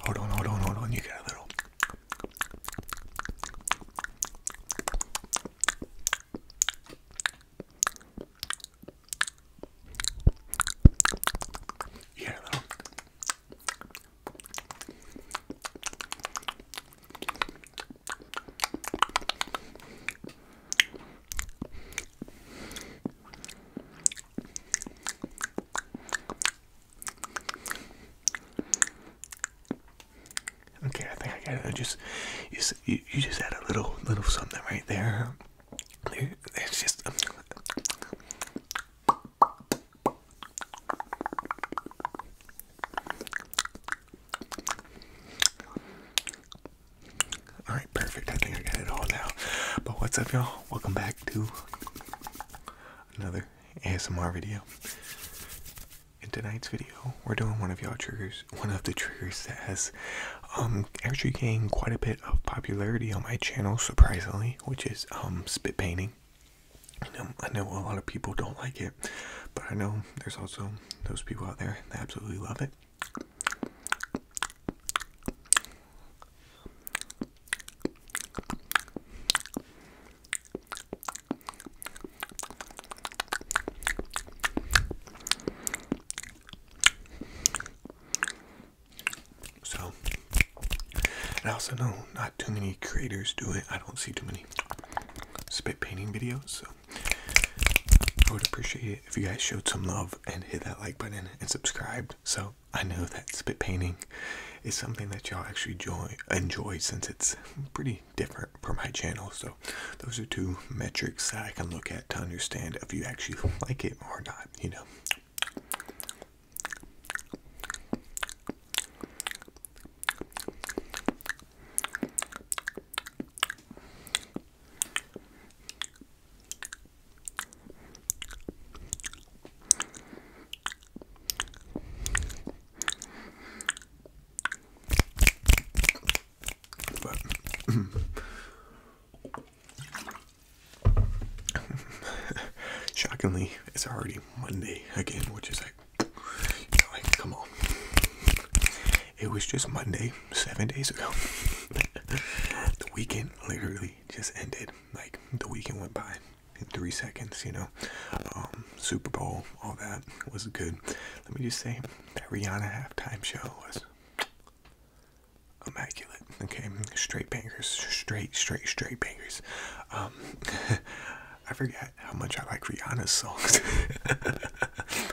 Hold on, hold on, hold on. You get a little. You get a little. Okay, I think I got it. I just you, you just add a little little something right there. It's just. Um, all right, perfect. I think I got it all now. But what's up, y'all? Welcome back to another ASMR video. In tonight's video, we're doing one of y'all triggers, one of the triggers that has um, actually gained quite a bit of popularity on my channel, surprisingly, which is um, spit painting. I know a lot of people don't like it, but I know there's also those people out there that absolutely love it. So, I also know not too many creators do it. I don't see too many spit painting videos, so I would appreciate it if you guys showed some love and hit that like button and subscribe. So, I know that spit painting is something that y'all actually enjoy since it's pretty different from my channel. So, those are two metrics that I can look at to understand if you actually like it or not, you know. shockingly, it's already Monday again, which is like, like come on. It was just Monday seven days ago. the weekend literally just ended like the weekend went by in three seconds, you know. Um, Super Bowl, all that was good. Let me just say that Rihanna halftime show was immaculate. Okay, straight bangers, straight, straight, straight bangers. Um, I forget how much I like Rihanna's songs.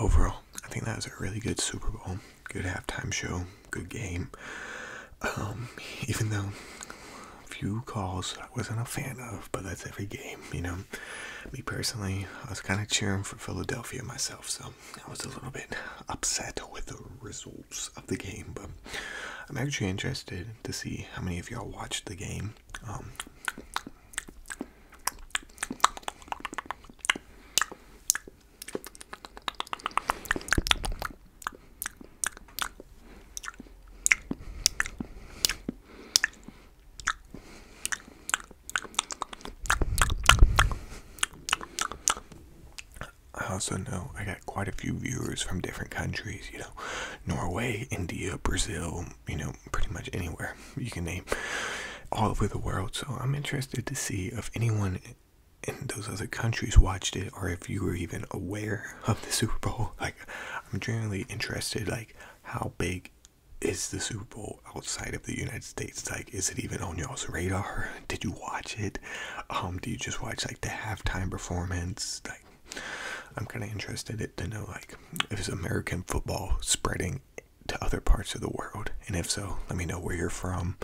Overall, I think that was a really good Super Bowl. Good halftime show, good game. Um, even though a few calls I wasn't a fan of, but that's every game, you know. Me personally, I was kind of cheering for Philadelphia myself, so I was a little bit upset with the results of the game, but I'm actually interested to see how many of y'all watched the game. Um, I also know I got quite a few viewers from different countries, you know, Norway, India, Brazil, you know, pretty much anywhere you can name, all over the world. So I'm interested to see if anyone in those other countries watched it or if you were even aware of the Super Bowl. Like, I'm genuinely interested, like, how big is the Super Bowl outside of the United States? Like, is it even on y'all's radar? Did you watch it? Um, do you just watch like the halftime performance? Like, I'm kind of interested to know like if it's American football spreading to other parts of the world, and if so, let me know where you're from,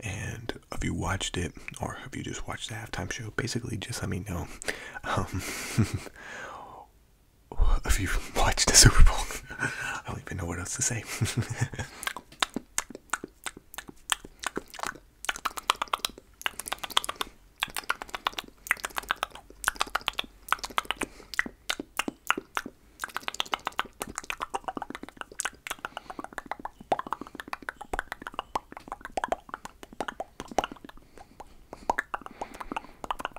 and if you watched it or if you just watched the halftime show. Basically, just let me know. Um, Have you watched the Super Bowl, I don't even know what else to say.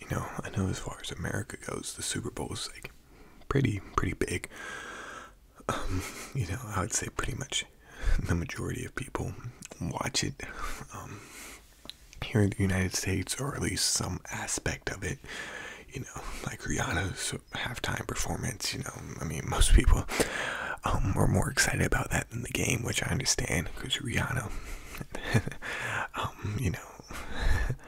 You know, I know as far as America goes, the Super Bowl is like pretty, pretty big. Um, you know, I would say pretty much the majority of people watch it. Um, here in the United States, or at least some aspect of it. You know, like Rihanna's halftime performance. You know, I mean, most people um, are more excited about that than the game, which I understand because Rihanna. Um, you know,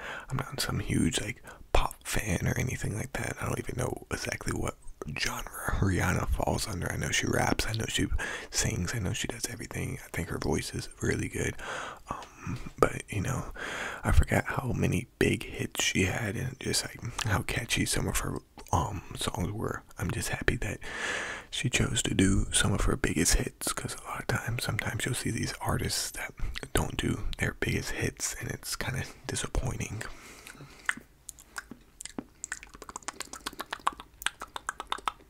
I'm not some huge like pop fan or anything like that. I don't even know exactly what genre Rihanna falls under. I know she raps, I know she sings, I know she does everything. I think her voice is really good. Um, but you know, I forgot how many big hits she had and just like how catchy some of her um, songs were. I'm just happy that she chose to do some of her biggest hits because a lot of times, sometimes you'll see these artists that don't do their biggest hits, and it's kind of disappointing.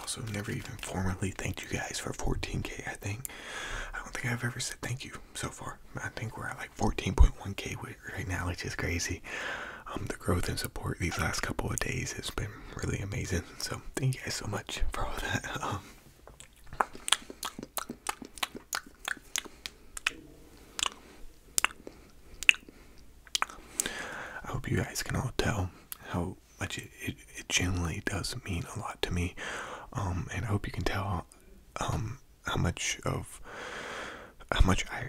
Also, never even formally thanked you guys for 14k. I think I don't think I've ever said thank you so far. I think we're at like 14.1k right now, which is crazy. Um, the growth and support these last couple of days has been really amazing. So thank you guys so much for all that. Um. I hope you guys can all tell how much it, generally does mean a lot to me. Um, and I hope you can tell um, how much of how much I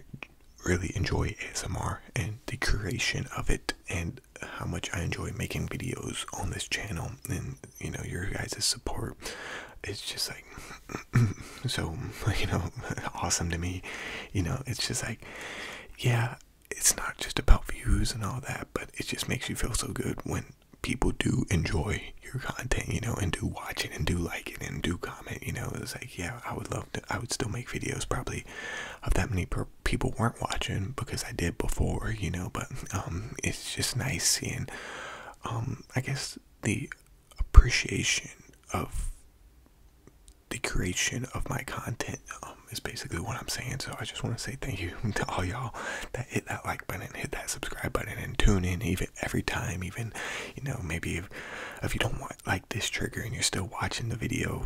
really enjoy ASMR and the creation of it and how much I enjoy making videos on this channel and you know your guys' support. It's just like so you know awesome to me you know it's just like yeah it's not just about views and all that but it just makes you feel so good when people do enjoy your content you know and do watch it and do like it and do comment you know it's like yeah i would love to i would still make videos probably of that many people weren't watching because i did before you know but um, it's just nice seeing um i guess the appreciation of the creation of my content um, is basically what I'm saying. So I just want to say thank you to all y'all that hit that like button, hit that subscribe button, and tune in even every time. Even you know maybe if if you don't want like this trigger and you're still watching the video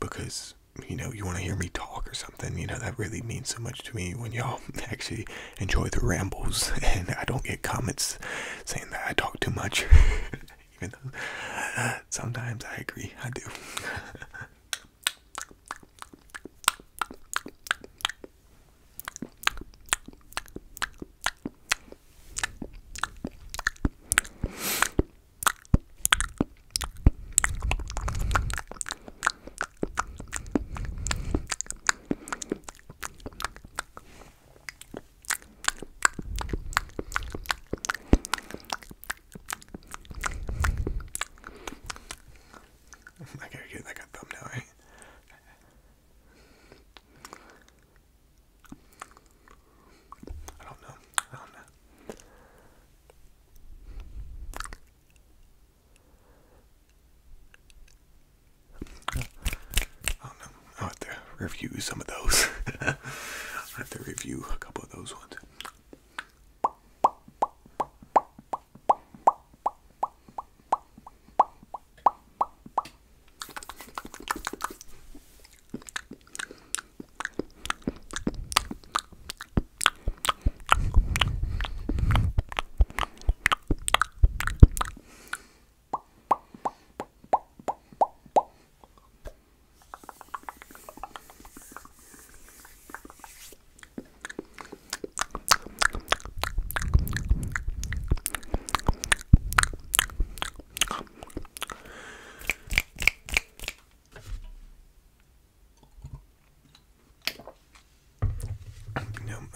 because you know you want to hear me talk or something, you know that really means so much to me when y'all actually enjoy the rambles and I don't get comments saying that I talk too much even though sometimes I agree, I do. I gotta get like a thumbnail, right? I don't know. I don't know. I don't know i have to review some of those. I have to review a couple of those ones.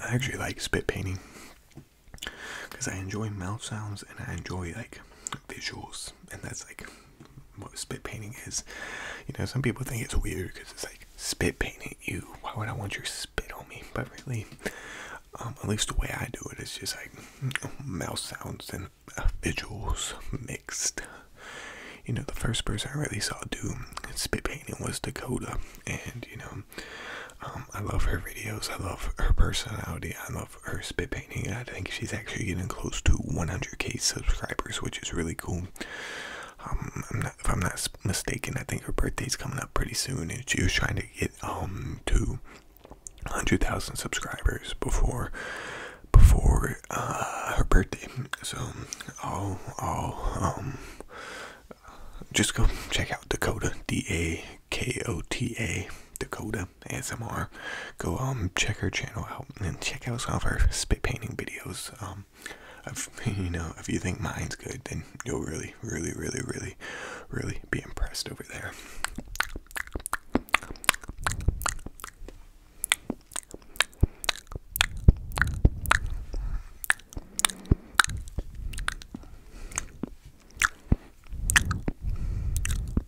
I actually like spit painting because I enjoy mouth sounds and I enjoy like visuals, and that's like what spit painting is. You know, some people think it's weird because it's like spit painting. You, why would I want your spit on me? But really, um, at least the way I do it is just like mouth sounds and uh, visuals mixed. You know, the first person I really saw do spit painting was Dakota, and you know, um, I love her videos. I love her personality. I love her spit painting. I think she's actually getting close to 100k subscribers, which is really cool. Um, I'm not, if I'm not mistaken, I think her birthday's coming up pretty soon, and she was trying to get um to 100,000 subscribers before before uh, her birthday. So I'll um just go check out Dakota D A K O T A Dakota ASMR. Go um, check her channel out and check out some of her spit painting videos. Um, you know, if you think mine's good, then you'll really, really, really, really, really be impressed over there.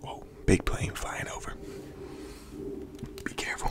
Whoa, big plane flying over. Be careful.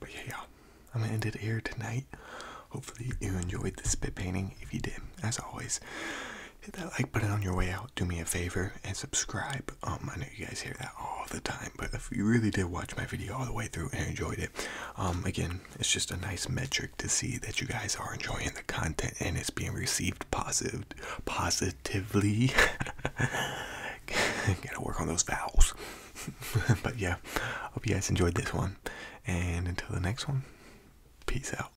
But yeah, y'all, I'm gonna end it here tonight. Hopefully, you enjoyed this spit painting. If you did, as always, hit that like button on your way out. Do me a favor and subscribe. Um, I know you guys hear that all the time, but if you really did watch my video all the way through and enjoyed it, um, again, it's just a nice metric to see that you guys are enjoying the content and it's being received positive, positively. Gotta work on those vowels. but yeah, hope you guys enjoyed this one. And until the next one, peace out.